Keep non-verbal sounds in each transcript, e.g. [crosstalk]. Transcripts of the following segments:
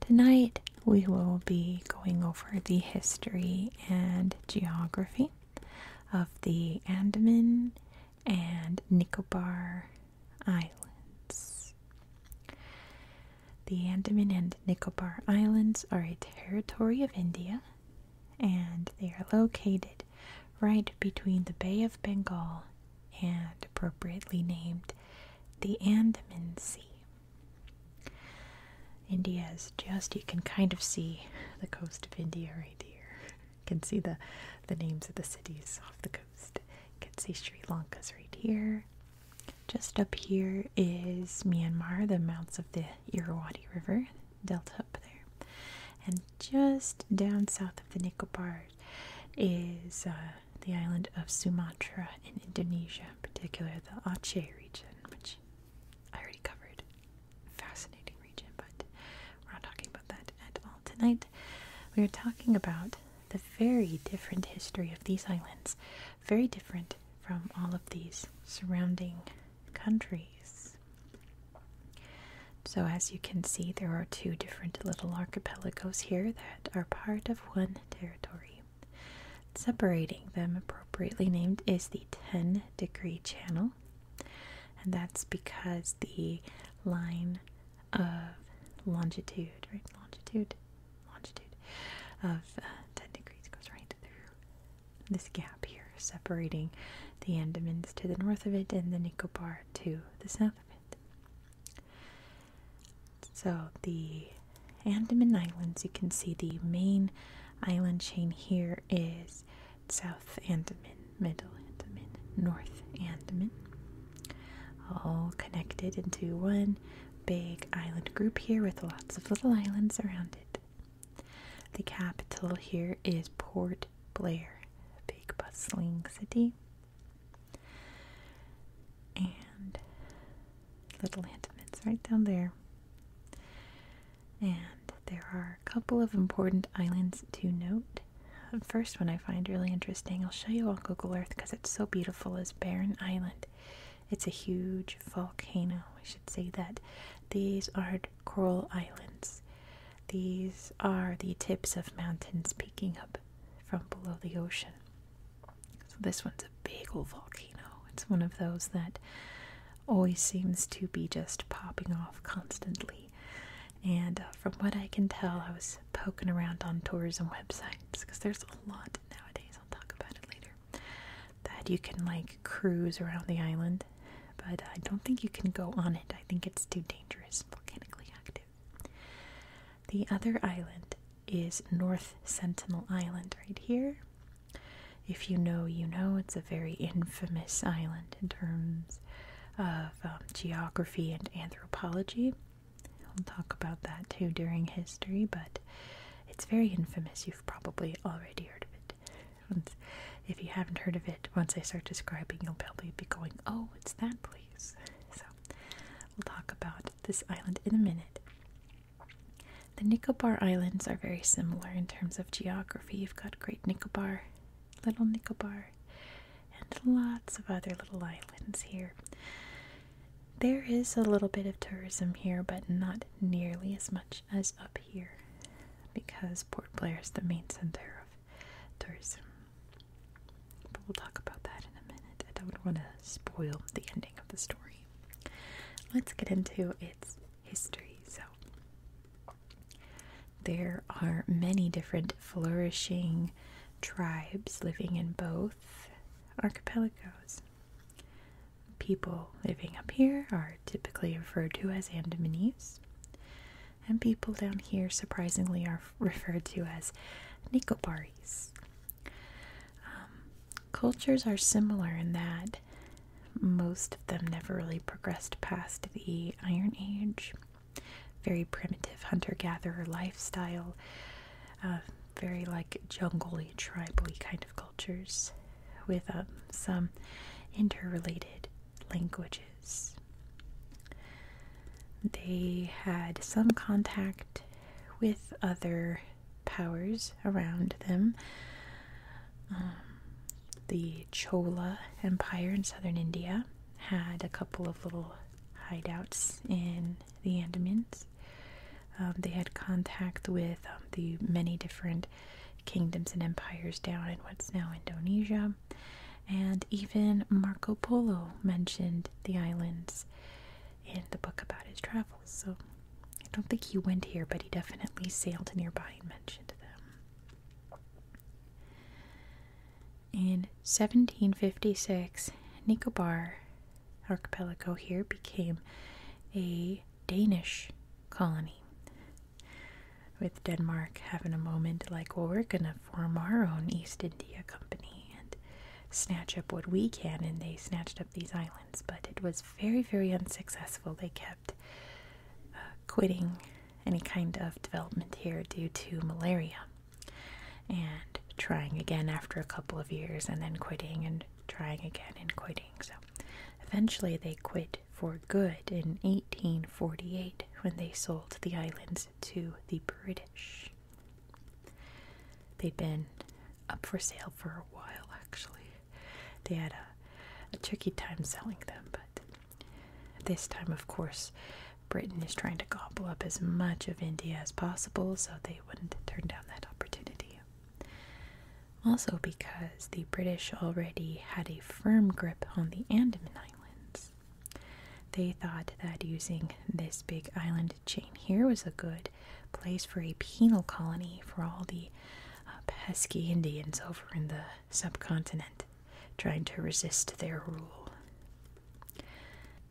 Tonight we will be going over the history and geography of the Andaman and Nicobar Islands. The Andaman and Nicobar Islands are a territory of India and they are located right between the Bay of Bengal and appropriately named the Andaman Sea. India is just, you can kind of see the coast of India right here. You can see the, the names of the cities off the coast. You can see Sri Lanka's right here. Just up here is Myanmar, the mouths of the Irrawaddy River delta up there. And just down south of the Nicobar is uh, the island of Sumatra in Indonesia, in particular the Aceh region, which I already covered. Fascinating region, but we're not talking about that at all tonight. We are talking about the very different history of these islands, very different from all of these surrounding countries. So, as you can see, there are two different little archipelagos here that are part of one territory. Separating them, appropriately named, is the 10 degree channel, and that's because the line of longitude, right? Longitude, longitude of uh, 10 degrees goes right through this gap here, separating the Andamans to the north of it and the Nicobar to the south of it. So, the Andaman Islands, you can see the main island chain here is South Andaman, Middle Andaman, North Andaman, all connected into one big island group here with lots of little islands around it. The capital here is Port Blair, a big bustling city. And little intimates right down there. And there are a couple of important islands to note. The first one I find really interesting. I'll show you on Google Earth because it's so beautiful is Barren Island. It's a huge volcano. I should say that these are coral islands. These are the tips of mountains peeking up from below the ocean. So this one's a big old volcano. It's one of those that always seems to be just popping off constantly. And uh, from what I can tell, I was poking around on tours and websites because there's a lot nowadays. I'll talk about it later. That you can like cruise around the island, but I don't think you can go on it. I think it's too dangerous, volcanically active. The other island is North Sentinel Island right here. If you know, you know, it's a very infamous island in terms of um, geography and anthropology. we will talk about that too during history, but it's very infamous. You've probably already heard of it. if you haven't heard of it, once I start describing, you'll probably be going, oh, it's that place. So we'll talk about this island in a minute. The Nicobar Islands are very similar in terms of geography. You've got Great Nicobar, Little Nicobar, and lots of other little islands here. There is a little bit of tourism here, but not nearly as much as up here because Port Blair is the main center of tourism. But we'll talk about that in a minute. I don't want to spoil the ending of the story. Let's get into its history. So, there are many different flourishing tribes living in both archipelagos. People living up here are typically referred to as Andamanese, and people down here surprisingly are referred to as Nicobaris. Um, cultures are similar in that most of them never really progressed past the Iron Age. Very primitive hunter gatherer lifestyle, uh, very like jungly, tribally kind of cultures with um, some interrelated languages. They had some contact with other powers around them. Um, the Chola Empire in southern India had a couple of little hideouts in the Andamans. Um, they had contact with um, the many different kingdoms and empires down in what's now Indonesia. And even Marco Polo mentioned the islands in the book about his travels. So I don't think he went here, but he definitely sailed nearby and mentioned them. In 1756, Nicobar archipelago here became a Danish colony, with Denmark having a moment like, well, we're going to form our own East India Company and snatch up what we can, and they snatched up these islands, but it was very, very unsuccessful. They kept uh, quitting any kind of development here due to malaria and trying again after a couple of years and then quitting and trying again and quitting. So eventually they quit for good in 1848 when they sold the islands to the British. They'd been up for sale for a while actually. They had a, tricky time selling them, but this time, of course, Britain is trying to gobble up as much of India as possible, so they wouldn't turn down that opportunity. Also, because the British already had a firm grip on the Andaman Islands, they thought that using this big island chain here was a good place for a penal colony for all the uh, pesky Indians over in the subcontinent trying to resist their rule.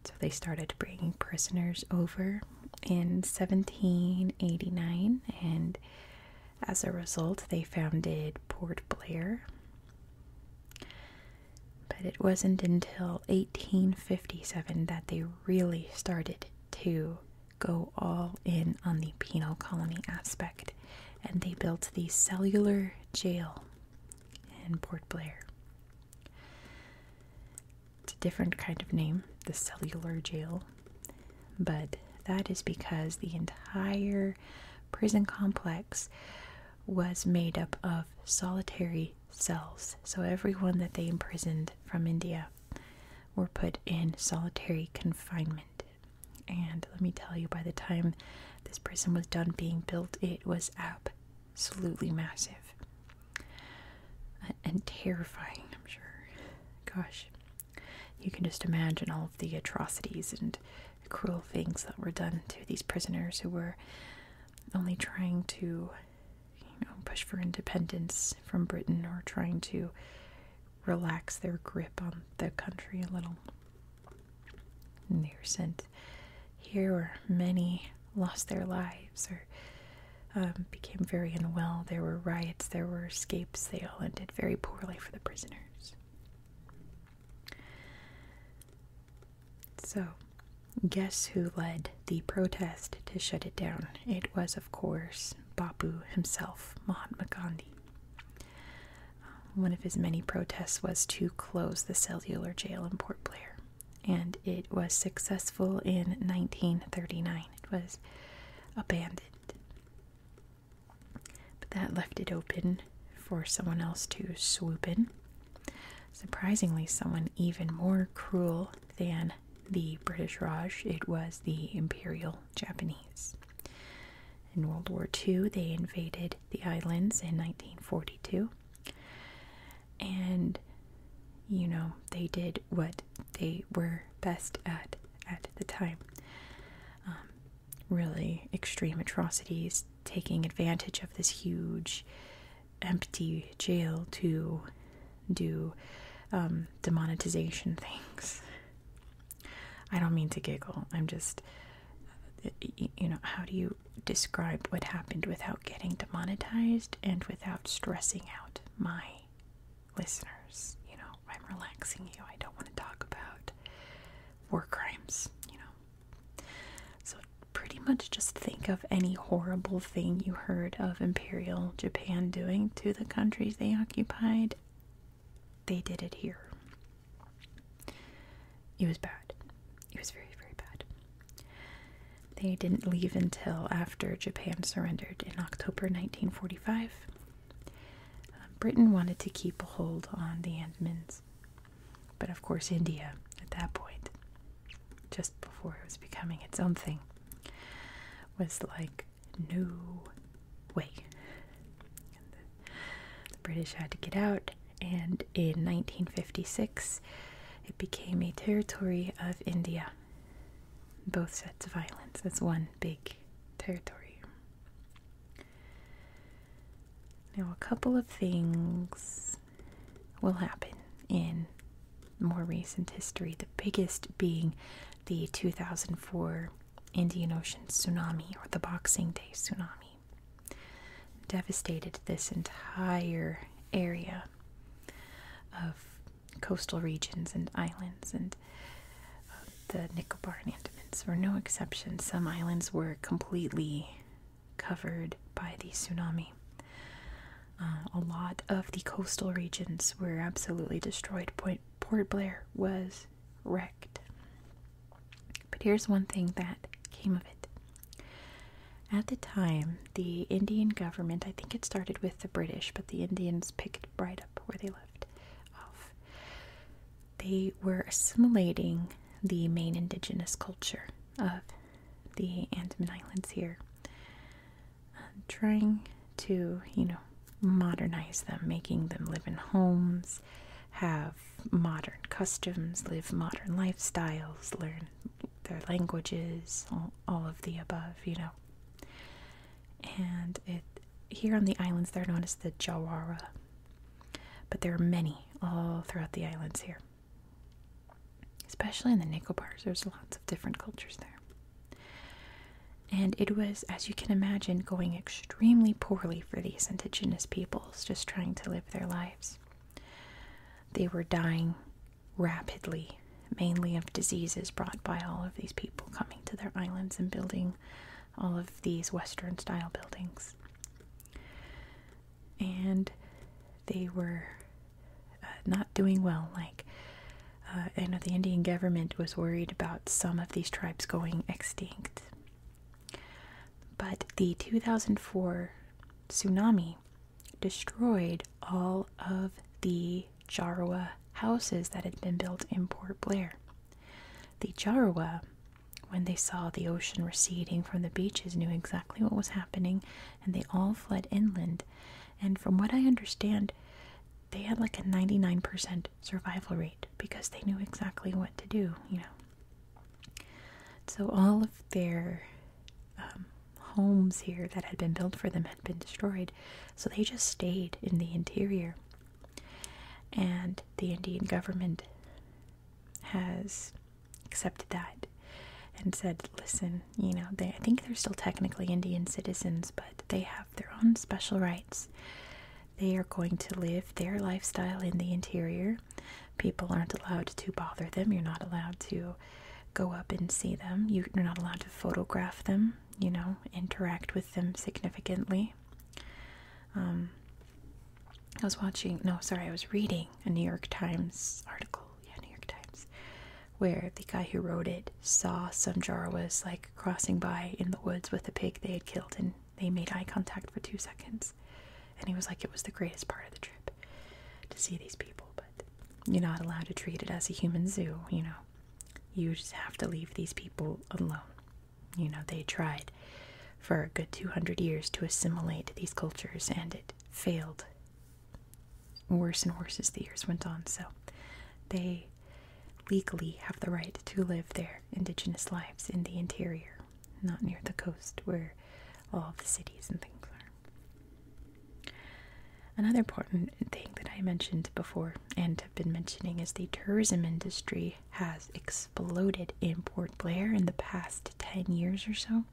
So they started bringing prisoners over in 1789, and as a result, they founded Port Blair. But it wasn't until 1857 that they really started to go all in on the penal colony aspect, and they built the cellular jail in Port Blair. It's a different kind of name, the cellular jail, but that is because the entire prison complex was made up of solitary cells. So everyone that they imprisoned from India were put in solitary confinement. And let me tell you, by the time this prison was done being built, it was absolutely massive and terrifying, I'm sure. Gosh, you can just imagine all of the atrocities and cruel things that were done to these prisoners who were only trying to you know, push for independence from Britain or trying to relax their grip on the country a little. they were sent here where many lost their lives or um, became very unwell. There were riots, there were escapes. They all ended very poorly for the prisoners. So, guess who led the protest to shut it down? It was, of course, Bapu himself, Mahatma Gandhi. One of his many protests was to close the cellular jail in Port Blair, and it was successful in 1939. It was abandoned. But that left it open for someone else to swoop in. Surprisingly, someone even more cruel than the British Raj, it was the Imperial Japanese. In World War II, they invaded the islands in 1942. And, you know, they did what they were best at at the time. Um, really extreme atrocities, taking advantage of this huge empty jail to do um, demonetization things. I don't mean to giggle. I'm just, uh, you know, how do you describe what happened without getting demonetized and without stressing out my listeners? You know, I'm relaxing you. I don't want to talk about war crimes, you know. So, pretty much just think of any horrible thing you heard of in Imperial Japan doing to the countries they occupied, they did it here. It was bad. It was very, very bad. They didn't leave until after Japan surrendered in October 1945. Um, Britain wanted to keep a hold on the Andamans, but of course, India at that point, just before it was becoming its own thing, was like, no way. The, British had to get out, and in 1956, it became a territory of India. Both sets of islands. as one big territory. Now, a couple of things will happen in more recent history. The biggest being the 2004 Indian Ocean tsunami or the Boxing Day tsunami. Devastated this entire area of coastal regions and islands, and uh, the Nicobar and Andamans were no exception. Some islands were completely covered by the tsunami. Uh, a lot of the coastal regions were absolutely destroyed. Point Port Blair was wrecked. But here's one thing that came of it. At the time, the Indian government, I think it started with the British, but the Indians picked right up where they left off. They were assimilating the main indigenous culture of the Andaman Islands here trying to, you know, modernize them, making them live in homes, have modern customs, live modern lifestyles, learn their languages, all, all of the above, you know. And it here on the islands, they're known as the Jawara, but there are many all throughout the islands here, especially in the Nicobars. There's lots of different cultures there. And it was, as you can imagine, going extremely poorly for these indigenous peoples just trying to live their lives. They were dying rapidly, mainly of diseases brought by all of these people coming to their islands and building all of these Western style buildings. And they were uh, not doing well. Like, and uh, the Indian government was worried about some of these tribes going extinct. But the 2004 tsunami destroyed all of the Jarawa houses that had been built in Port Blair. The Jarawa, when they saw the ocean receding from the beaches, knew exactly what was happening and they all fled inland. And from what I understand, they had like a 99% survival rate because they knew exactly what to do, you know. So all of their um, homes here that had been built for them had been destroyed, so they just stayed in the interior. And the Indian government has accepted that and said, listen, you know, they, I think they're still technically Indian citizens, but they have." their own special rights. They are going to live their lifestyle in the interior. People aren't allowed to bother them. You're not allowed to go up and see them. You're not allowed to photograph them, you know, interact with them significantly. Um, I was watching, no, sorry, I was reading a New York Times article. Yeah, New York Times where the guy who wrote it saw Sunjar was like crossing by in the woods with a pig they had killed and they made eye contact for two seconds. And he was like, it was the greatest part of the trip to see these people, but you're not allowed to treat it as a human zoo, you know. You just have to leave these people alone. You know, they tried for a good 200 years to assimilate these cultures and it failed worse and worse as the years went on. So they legally have the right to live their indigenous lives in the interior, not near the coast where all the cities and things are. Another important thing that I mentioned before and have been mentioning is the tourism industry has exploded in Port Blair in the past 10 years or so.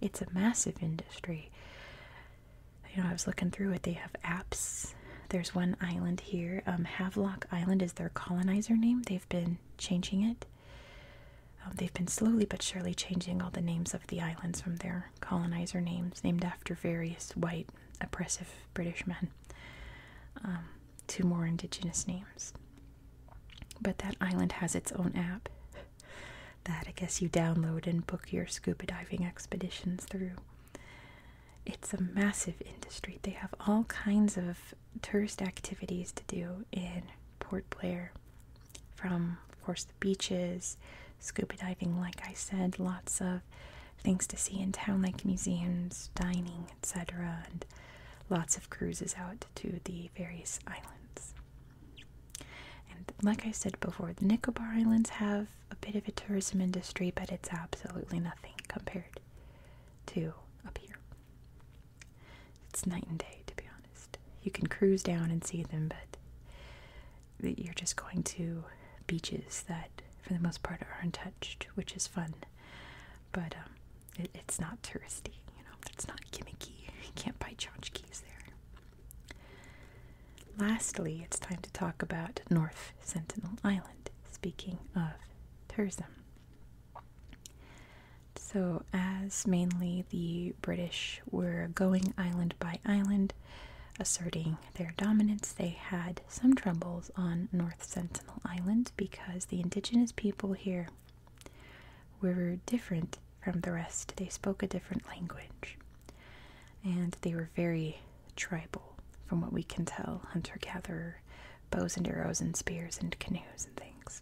It's a massive industry you know, I was looking through it. They have apps. There's one island here. Um, Havelock Island is their colonizer name. They've been changing it. Um, they've been slowly but surely changing all the names of the islands from their colonizer names, named after various white oppressive British men, um, to more indigenous names. But that island has its own app that I guess you download and book your scuba diving expeditions through it's a massive industry. They have all kinds of tourist activities to do in Port Blair, from, of course, the beaches, scuba diving, like I said, lots of things to see in town, like museums, dining, etc., and lots of cruises out to the various islands. And like I said before, the Nicobar Islands have a bit of a tourism industry, but it's absolutely nothing compared to up here. It's night and day, to be honest. You can cruise down and see them, but you're just going to beaches that, for the most part, are untouched, which is fun. But um, it's not touristy, you know, it's not gimmicky. You can't buy tchotchkes there. Lastly, it's time to talk about North Sentinel Island, speaking of tourism. So, as mainly the British were going island by island, asserting their dominance, they had some troubles on North Sentinel Island because the indigenous people here were different from the rest. They spoke a different language and they were very tribal, from what we can tell hunter gatherer, bows and arrows and spears and canoes and things.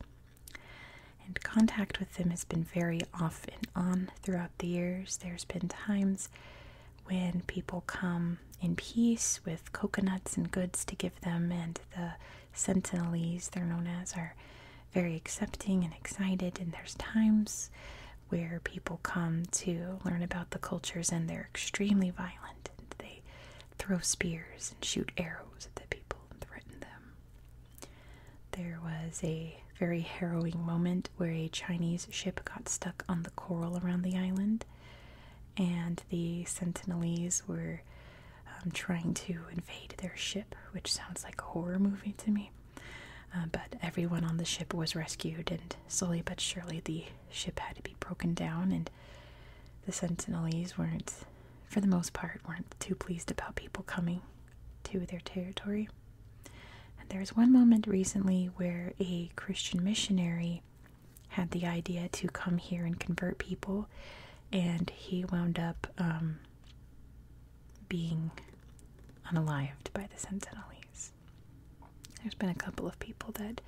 And contact with them has been very off and on throughout the years. There's been times when people come in peace with coconuts and goods to give them, and the sentinels, they're known as, are very accepting and excited. And there's times where people come to learn about the cultures, and they're extremely violent. And they throw spears and shoot arrows at the people and threaten them. There was a very harrowing moment where a Chinese ship got stuck on the coral around the island, and the Sentinelese were um, trying to invade their ship, which sounds like a horror movie to me. Uh, but everyone on the ship was rescued, and slowly but surely the ship had to be broken down, and the Sentinelese weren't, for the most part, weren't too pleased about people coming to their territory. And there was one moment recently where a Christian missionary had the idea to come here and convert people, and he wound up um, being unalived by the Sentinelese. There's been a couple of people that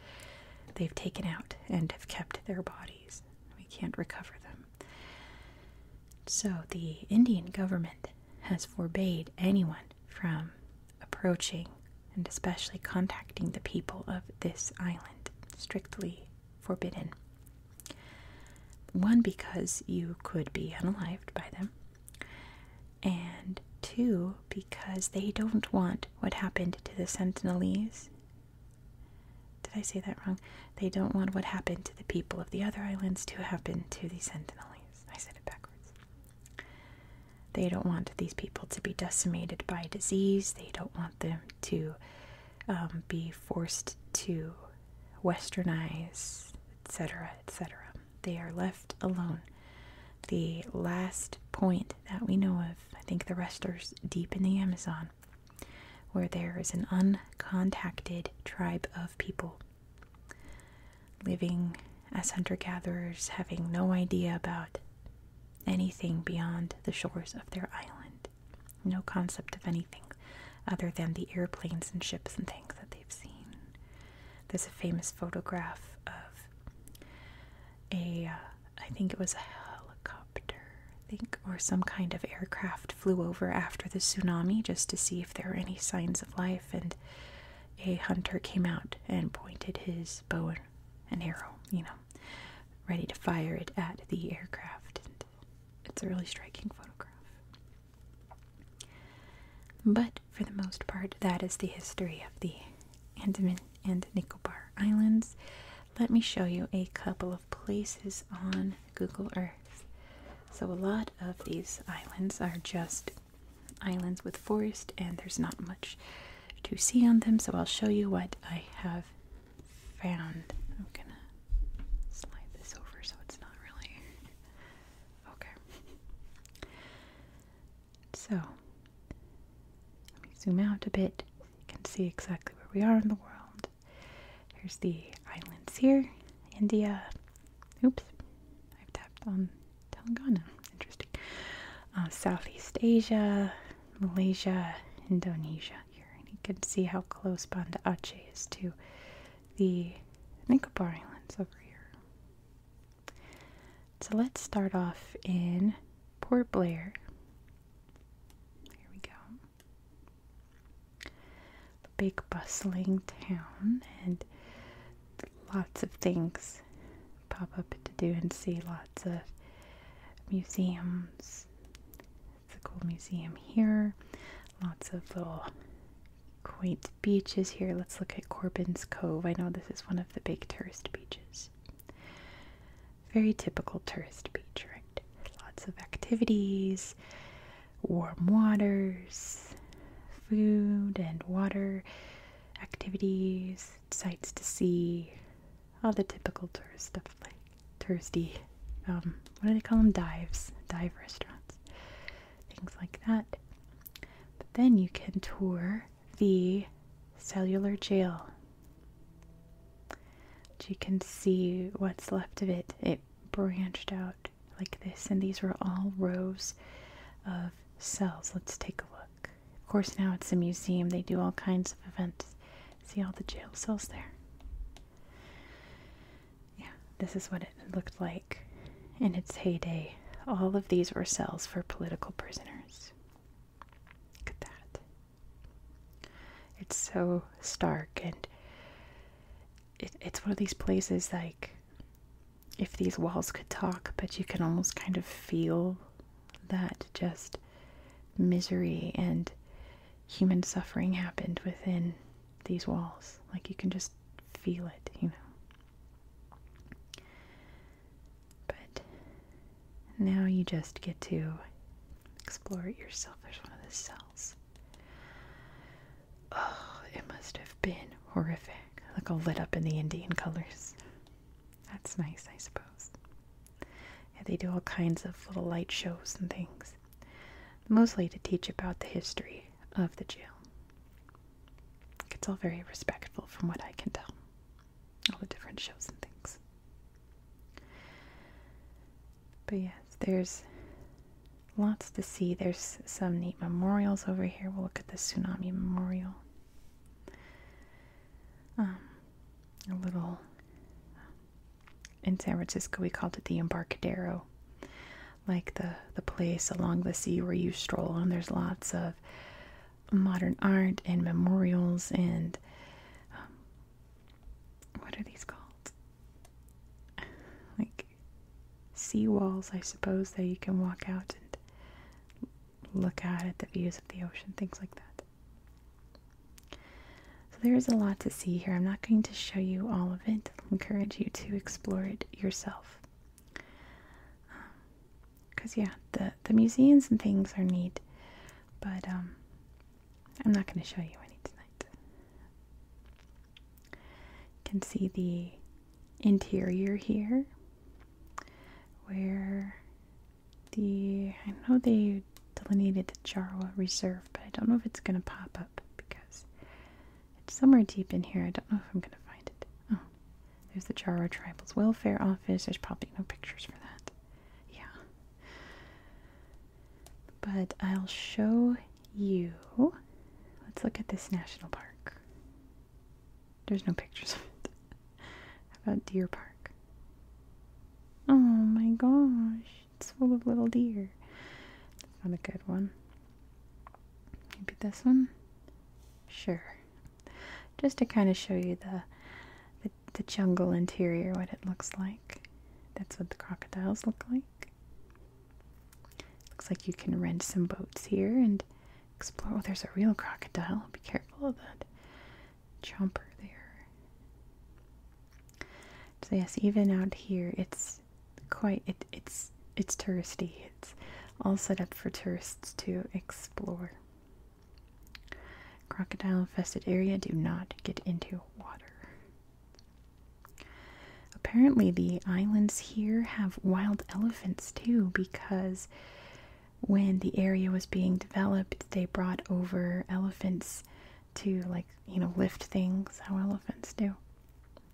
they've taken out and have kept their bodies. We can't recover them. So the Indian government has forbade anyone from approaching and especially contacting the people of this island. Strictly forbidden. One, because you could be unalived by them, and two, because they don't want what happened to the Sentinelese. Did I say that wrong? They don't want what happened to the people of the other islands to happen to the Sentinelese. I said it backwards. They don't want these people to be decimated by disease. They don't want them to um, be forced to westernize, etc., etc they are left alone. The last point that we know of, I think the wrestlers deep in the Amazon, where there is an uncontacted tribe of people living as hunter gatherers, having no idea about anything beyond the shores of their island. No concept of anything other than the airplanes and ships and things that they've seen. There's a famous photograph of a, uh, I think it was a helicopter, think, or some kind of aircraft flew over after the tsunami just to see if there were any signs of life. And a hunter came out and pointed his bow and arrow, you know, ready to fire it at the aircraft. it's a really striking photograph. But for the most part, that is the history of the Andaman and Nicobar Islands. Let me show you a couple of places on Google Earth. So, a lot of these islands are just islands with forest, and there's not much to see on them. So, I'll show you what I have found. I'm gonna slide this over so it's not really okay. So, let me zoom out a bit so you can see exactly where we are in the world. Here's the islands here, India. Oops, I've tapped on Telangana. Interesting. Uh, Southeast Asia, Malaysia, Indonesia here. And you can see how close Bandar Aceh is to the Nicobar Islands over here. So let's start off in Port Blair. Here we go. A big bustling town and lots of things pop up to do and see. Lots of museums. It's a cool museum here. Lots of little quaint beaches here. Let's look at Corbin's Cove. I know this is one of the big tourist beaches. Very typical tourist beach, right? Lots of activities, warm waters, food and water activities, sights to see, all the typical tourist stuff like touristy, um, what do they call them? Dives, dive restaurants, things like that. But then you can tour the cellular jail. you can see what's left of it. It branched out like this, and these were all rows of cells. Let's take a look. Of course, now it's a museum, they do all kinds of events. See all the jail cells there? Yeah, this is what it looked like in its heyday. All of these were cells for political prisoners. Look at that. It's so stark, and it, it's one of these places like if these walls could talk, but you can almost kind of feel that just misery and human suffering happened within these walls. Like you can just feel it, you know. But now you just get to explore it yourself. There's one of the cells. Oh, it must have been horrific. Look all lit up in the Indian colors. That's nice, I suppose. And they do all kinds of little light shows and things, mostly to teach about the history of the jail. It's all very respectful from what I can tell all the different shows and things. But yes, there's lots to see. There's some neat memorials over here. We'll look at the tsunami memorial. Um, a little um, in San Francisco, we called it the Embarcadero, like the the place along the sea where you stroll, and there's lots of modern art and memorials and um, what are these called? [laughs] like sea walls, I suppose, that you can walk out and look at the views of the ocean, things like that. So there is a lot to see here. I'm not going to show you all of it. I encourage you to explore it yourself. Um, Cause yeah, the the museums and things are neat, but um, I'm not going to show you any tonight. You can see the interior here, where the I know they delineated the Jarwa Reserve, but I don't know if it's going to pop up because it's somewhere deep in here. I don't know if I'm going to find it. Oh. There's the Jara Tribal's Welfare Office. There's probably no pictures for that. Yeah. But I'll show you. Let's look at this national park. There's no pictures of it. [laughs] How about Deer Park? Oh my gosh, it's full of little deer. That's not a good one. Maybe this one? Sure just to kind of show you the, the jungle interior, what it looks like. That's what the crocodiles look like. Looks like you can rent some boats here and explore. Oh, there's a real crocodile. Be careful of that chomper there. So yes, even out here, it's quite it, it's it's touristy. It's all set up for tourists to explore. Crocodile infested area, do not get into water. Apparently, the islands here have wild elephants too because when the area was being developed, they brought over elephants to, like, you know, lift things how elephants do.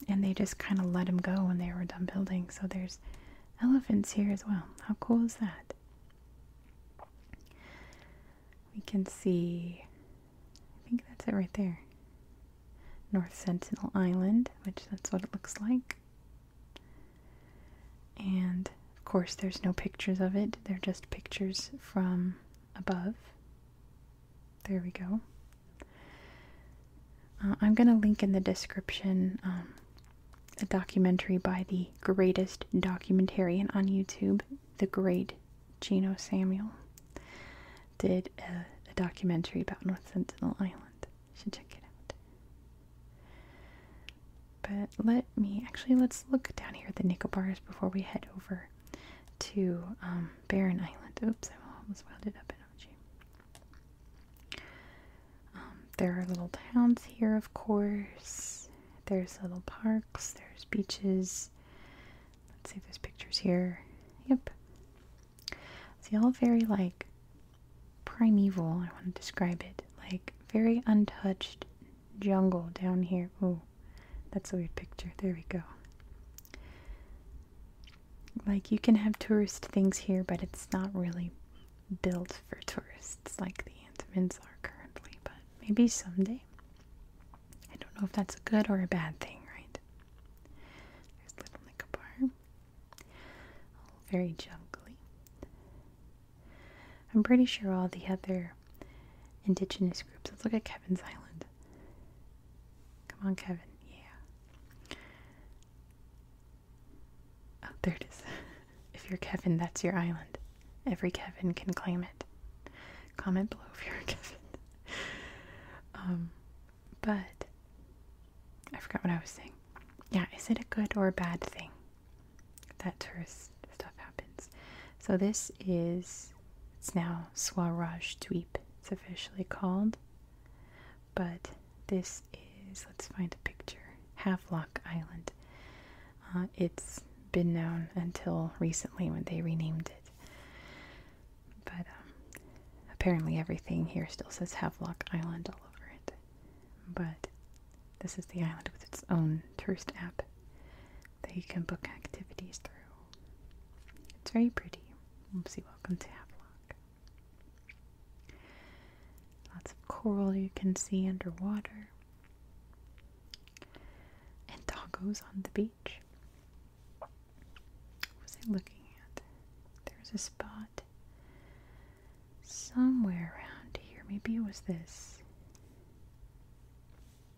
And they just kind of let them go when they were done building. So there's elephants here as well. How cool is that? We can see, I think that's it right there. North Sentinel Island, which that's what it looks like. And of course, there's no pictures of it, they're just pictures from above. There we go. Uh, I'm going to link in the description um, a documentary by the greatest documentarian on YouTube, the great Gino Samuel, did a, documentary about North Sentinel Island. You should check it out. But let me actually let's look down here at the nickel before we head over to um, Barren Island. Oops, I almost wound it up, haven't um, there are little towns here, of course. There's little parks, there's beaches. Let's see if there's pictures here. Yep. See, all very like primeval, I want to describe it. Like very untouched jungle down here. Oh, that's a weird picture. There we go. Like you can have tourist things here, but it's not really built for tourists like the Antamins are currently, but maybe someday. I don't know if that's a good or a bad thing, right? There's Little Nicobar. very jungly. I'm pretty sure all the other indigenous groups. Let's look at Kevin's Island. Come on, Kevin. Yeah. Oh, there it is. [laughs] If you're Kevin, that's your island. Every Kevin can claim it. Comment below if you're Kevin. [laughs] um, but I forgot what I was saying. Yeah, is it a good or a bad thing that tourist stuff happens? So this is it's now Swaraj Dweep. It's officially called. But this is let's find a picture. Half Havelock Island. Uh, it's been known until recently when they renamed it. But um, apparently, everything here still says Havelock Island all over it. But this is the island with its own tourist app that you can book activities through. It's very pretty. Oopsie, welcome to Havelock. Lots of coral you can see underwater and doggos on the beach. What was I looking at? There's a spot somewhere around here. Maybe it was this.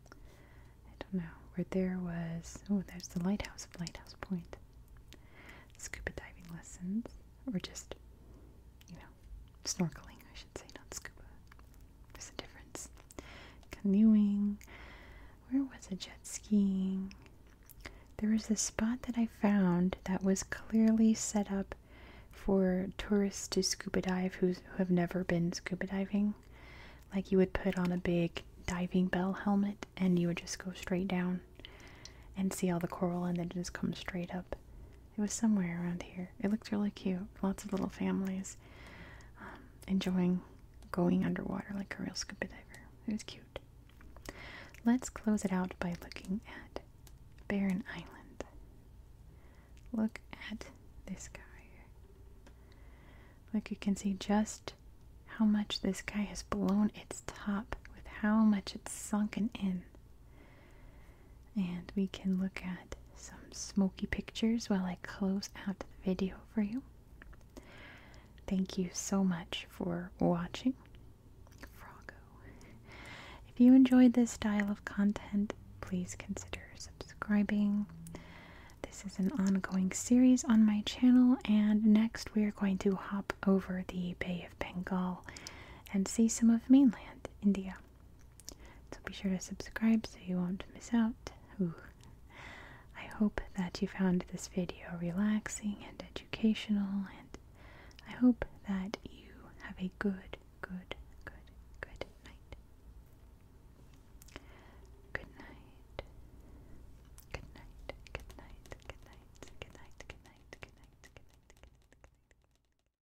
I don't know. Where there was. Oh, there's the lighthouse of Lighthouse Point. Scuba diving lessons. Or just, you know, snorkeling, I should say, not scuba. There's a difference. Canoeing. Where was it? Jet skiing. There was a spot that I found that was clearly set up for tourists to scuba dive who's, who have never been scuba diving. Like you would put on a big diving bell helmet and you would just go straight down and see all the coral and then just come straight up. It was somewhere around here. It looked really cute. Lots of little families um, enjoying going underwater like a real scuba diver. It was cute. Let's close it out by looking at Barren Island. Look at this guy. Look, you can see just how much this guy has blown its top with how much it's sunken in. And we can look at some smoky pictures while I close out the video for you. Thank you so much for watching. Froggo. If you enjoyed this style of content, please consider subscribing. This is an ongoing series on my channel, and next we are going to hop over the Bay of Bengal and see some of mainland India. So be sure to subscribe so you won't miss out. I hope that you found this video relaxing and educational, and I hope that you have a good, good, good, Good night. Good night. Good night. Good night. Good night. Good night. Good night. Good night. Good night. Good night.